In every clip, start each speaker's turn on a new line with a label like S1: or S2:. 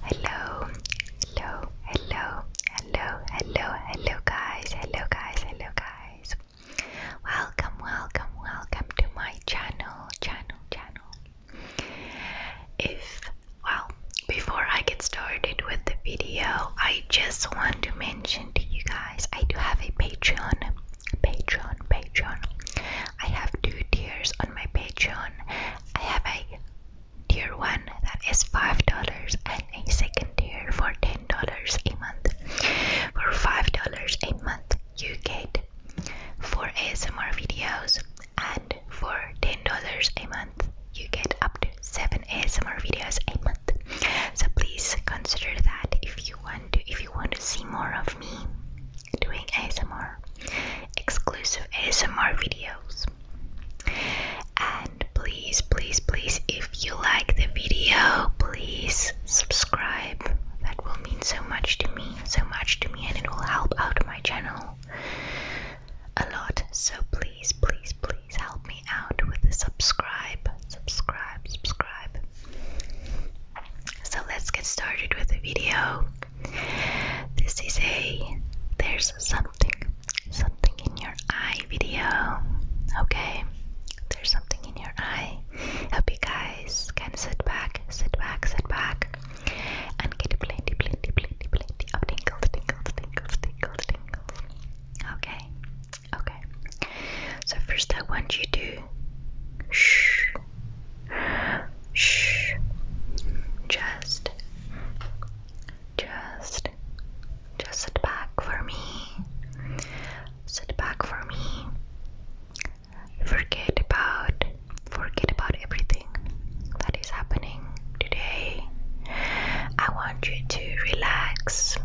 S1: Hello, hello, hello, hello, hello, hello, guys, hello, guys, hello, guys. Welcome, welcome, welcome to my channel, channel, channel. If, well, before I get started with the video, I just want to mention to you guys I do have a Patreon, Patreon, Patreon. I have two tiers on my Patreon, I have a tier one that is five dollars and a second tier for ten dollars a month. For five dollars a month, you get four ASMR videos, and for ten dollars a month, you get up to seven ASMR videos a month. So please consider that if you want to if you want to see more of me doing ASMR, exclusive ASMR videos. And please, please, please, if you like the video, please subscribe. That will mean so much to me, so much to me, and it will help out my channel a lot. So please, please, please help me out with the subscribe, subscribe, subscribe. So let's get started with the video. This is a there's something something in your eye video. Okay. There's something in your eye. Hope you guys can sit back, sit back, sit back and get plenty, plenty, plenty, plenty of tingles, tingles, tingles, tingles, tingles. Okay. Okay. So first I want you to shh Shh. Just, just, just sit back for me. Sit back for me. Forget about, forget about everything that is happening today. I want you to relax,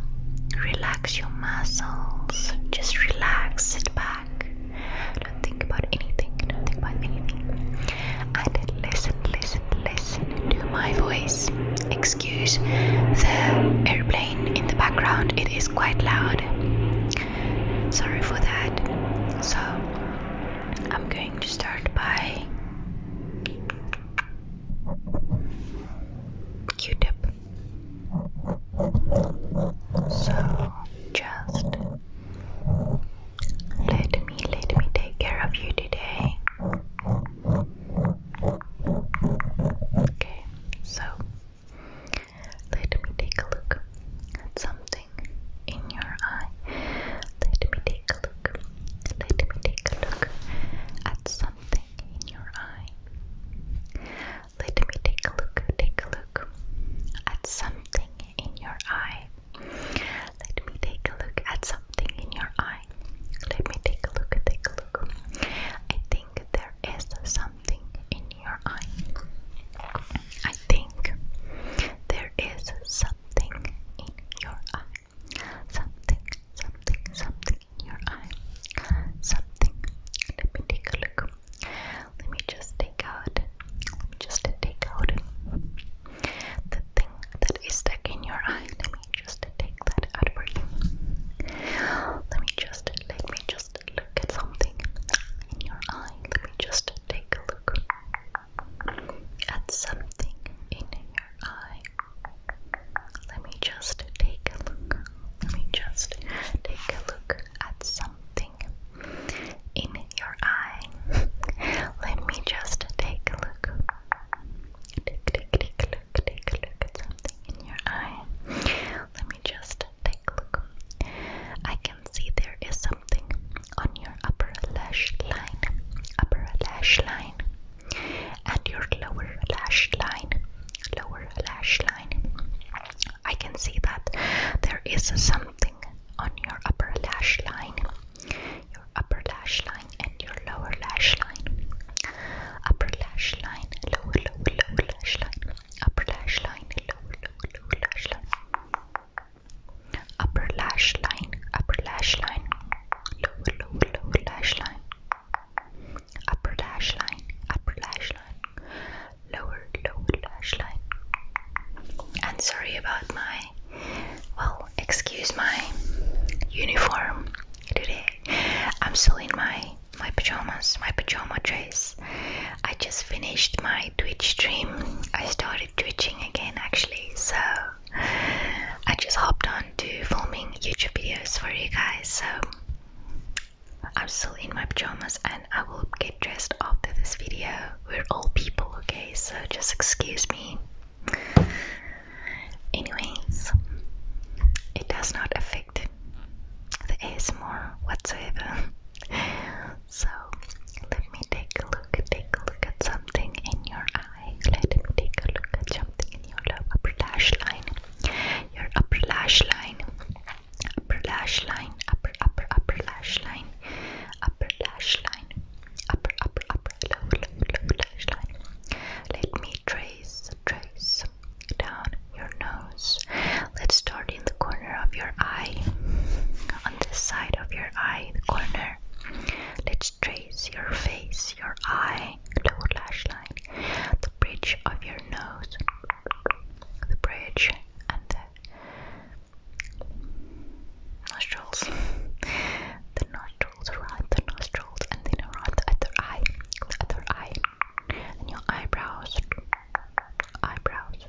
S1: relax your muscles. Just relax, sit back, don't think about anything. Don't think about anything. And listen, listen, listen to my voice. Excuse the airplane in the background, it is quite loud. Sorry for that. So, I'm going to start by Q tip. So, just let me, let me take care of you today. Okay, so let me take a look at something in your eye. Let me take a look. Let me take a look at something in your eye. Let me take a look, take a look at something in your eye. Let me take a look at something in your eye. Let me take a look, take a look. I think there is something in your eye. I think there is something in your eye. Something, something, something in your eye. Something. Let me take a look let me just take out, let me just take out the thing that is stuck in your eye. Let me just take that out for you. Let me just, let me just look at something in your eye. Let me just take a look at something in your eye. Let me just take a look. Let me just take a look at something in your eye. Let me just take a look. Take, take, take a look, take at something in your eye. Let me just take a look. I can see there is something on your upper lash line, upper lash line, and your lower lash line, lower lash line. I can see that there is something on your upper lash line, your upper lash line, and your lower lash line. Upper lash line, lower, lower, lower lash line. Upper lash line, lower, lower, lower lash line. Upper lash line, upper lash line, lower, lower, lower lash line upper lash line, upper lash line, lower, lower lash line. And sorry about my, well, excuse my uniform today. I'm still in my my pajamas, my pajama dress. I just finished my Twitch stream. I started twitching again actually, so I just hopped on to filming YouTube videos for you guys. So I'm still in my pajamas and I will get dressed after this video. We're all people, okay? So just excuse me. Anyways, it does not affect the ASMR whatsoever. So let me take a look, take a look at something in your eye. Let me take a look at something in your lower lash line your upper lash line, upper lash line, upper, upper, upper lash line, upper lash line, upper, upper, upper, low, low, low lash line. Let me trace, trace down your nose. Let's start in the corner of your eye, on the side of your eye, the corner. Let's trace your face, your eye, lower lash line the bridge of your nose. The bridge and the nostrils. the nostrils, right? The nostrils, and then around the other eye. The other eye. And your eyebrows. Eyebrows.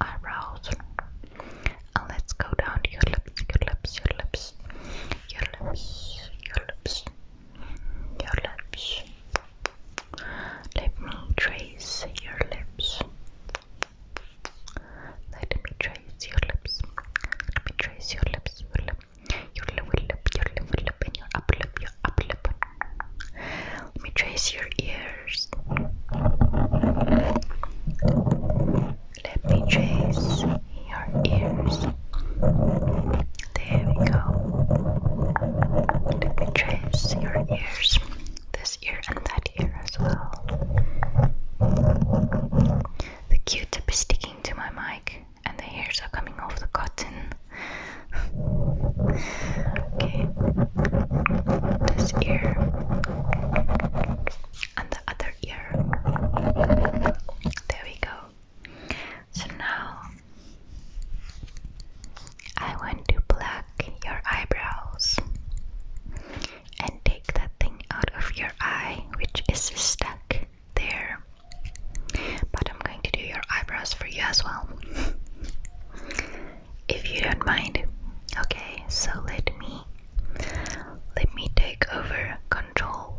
S1: Eyebrows. And let's go down to your lips, your lips, your lips, your lips, your lips, your lips. Let me trace your lips. Let me trace your lips. Let me trace your lips. Your lip, your lip, your lip, lip, and your upper lip, your upper lip. Let me trace your ears. Let me trace your ears. There we go. Let me trace your ears, this ear and that ear as well. The Q-tip is sticking to my mic, and the hairs are coming off the cotton. okay, this ear and the other ear. There we go. So now I want to pluck your eyebrows and take that thing out of your eye which is stuck there. But I'm going to do your eyebrows for you as well. if you don't mind. Okay, so let me let me take over control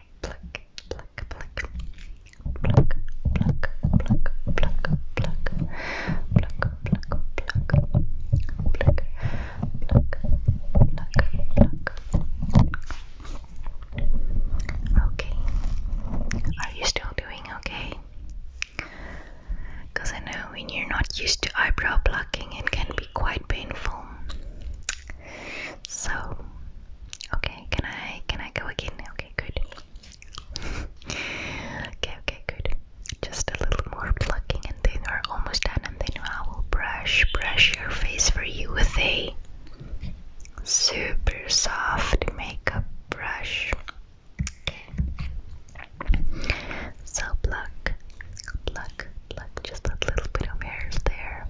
S1: Okay. Are you still doing okay? Because I know when you're not used to eyebrow plucking, it can be quite painful. So, okay, can I can I go again? Okay, good. okay, okay, good. Just a little more plucking, and then we're almost done. And then I will brush brush your face for you with a super soft makeup brush. Okay. So pluck, pluck, pluck. Just a little bit of hairs there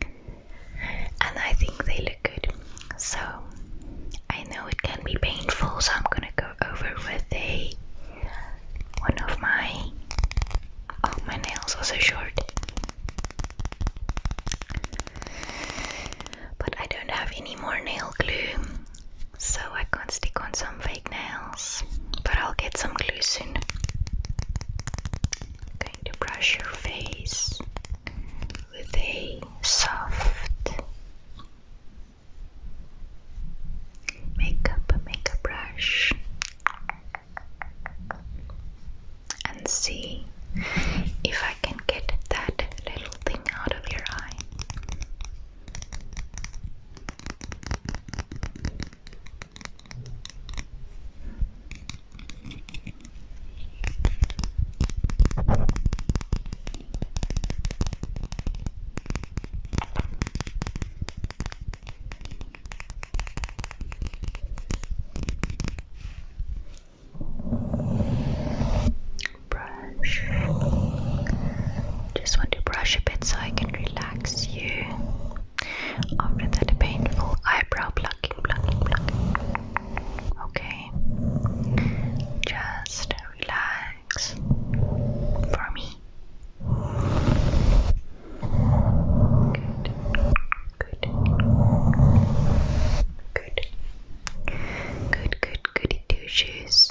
S1: and I think they look good. So I know it can be painful, so I'm gonna go over with a one of my oh my nails are short. But I don't have any more nail glue, so I can't stick on some fake nails. But I'll get some glue soon going to brush your face with a soft makeup makeup brush and see if I can get that little thing out of your eye. Brush. Just want to brush a bit so I can relax you. After that painful eyebrow plucking, plucking, plucking. Okay. Just relax for me. Good. Good. Good. Good, good, goody two shoes.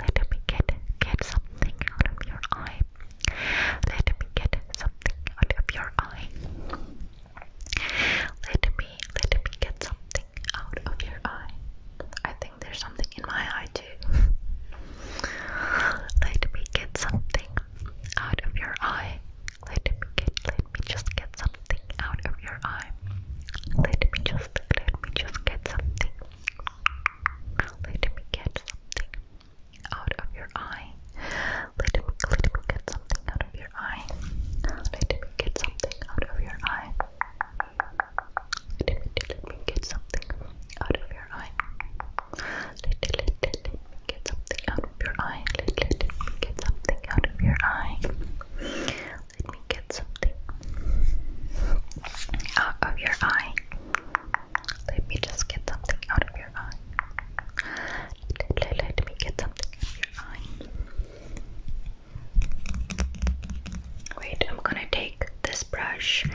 S1: let me get get something out of your eye. Let me get something out of your eye. Let me let me get something out of your eye. I think there's something in my eye too. let me get something out of your eye. Let me get let me just get something out of your eye. Let me just let me just get something. Let me get something out of your eye. Let me let me get something out of your eye. Let me get something out of your eye. Let me let me get something out of your eye. Let let let, me get something out of your eye. Let let, get something out of your eye. Let me get something out of your eye. Let me just get something out of your eye. Let, let, me get something out of your eye. Wait, I'm gonna take this brush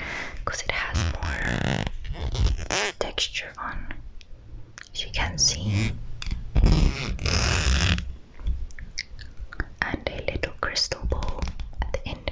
S1: because it has more texture on. If you can see and a little crystal ball at the end.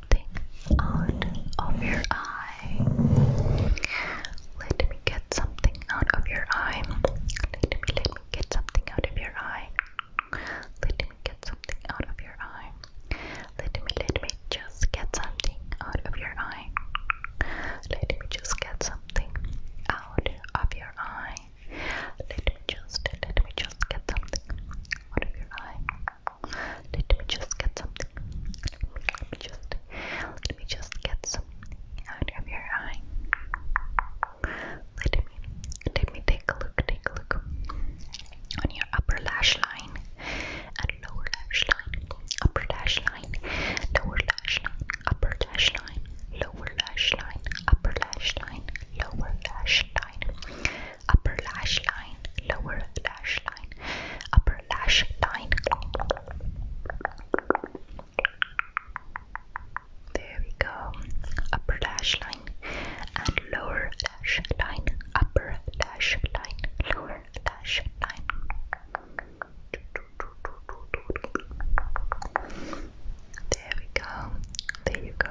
S1: something out of your eye. Let me get something out of your eye. Let me let me get something out of your eye. Let me get something out of your eye. Let me let me just get something out of your eye. Let me just get something out of your eye. Let me just let me just get something out of your eye. Let me just get something. Let me just let me just get something out of your eye. Let me let me take a look, take a look on your upper lash line and lower lash line, upper lash line, lower lash line, upper lash line, lower lash line, upper lash line, lower lash line upper lash line, lower lash line, upper lash line. There we go. Upper lash line and lower lash line, upper lash line, lower lash line. There we go. There you go.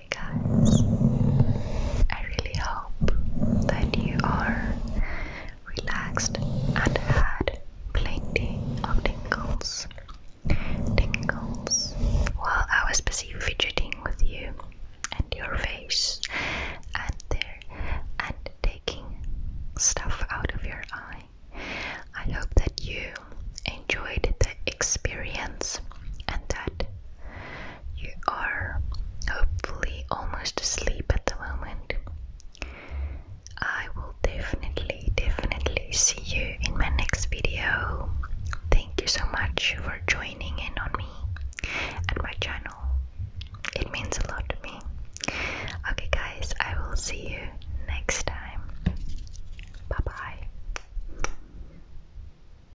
S1: Okay, guys, I really hope that you are relaxed and had plenty of tingles. Tingles while I was busy fidgeting with you and your face and there and taking stuff out of your eye. I hope that you enjoyed the experience and that you are hopefully almost asleep at the moment. I will definitely, definitely see you in my next video. Thank you so much for joining in on me and my channel. It means a lot to me. Okay, guys, I will see you next time. Bye bye.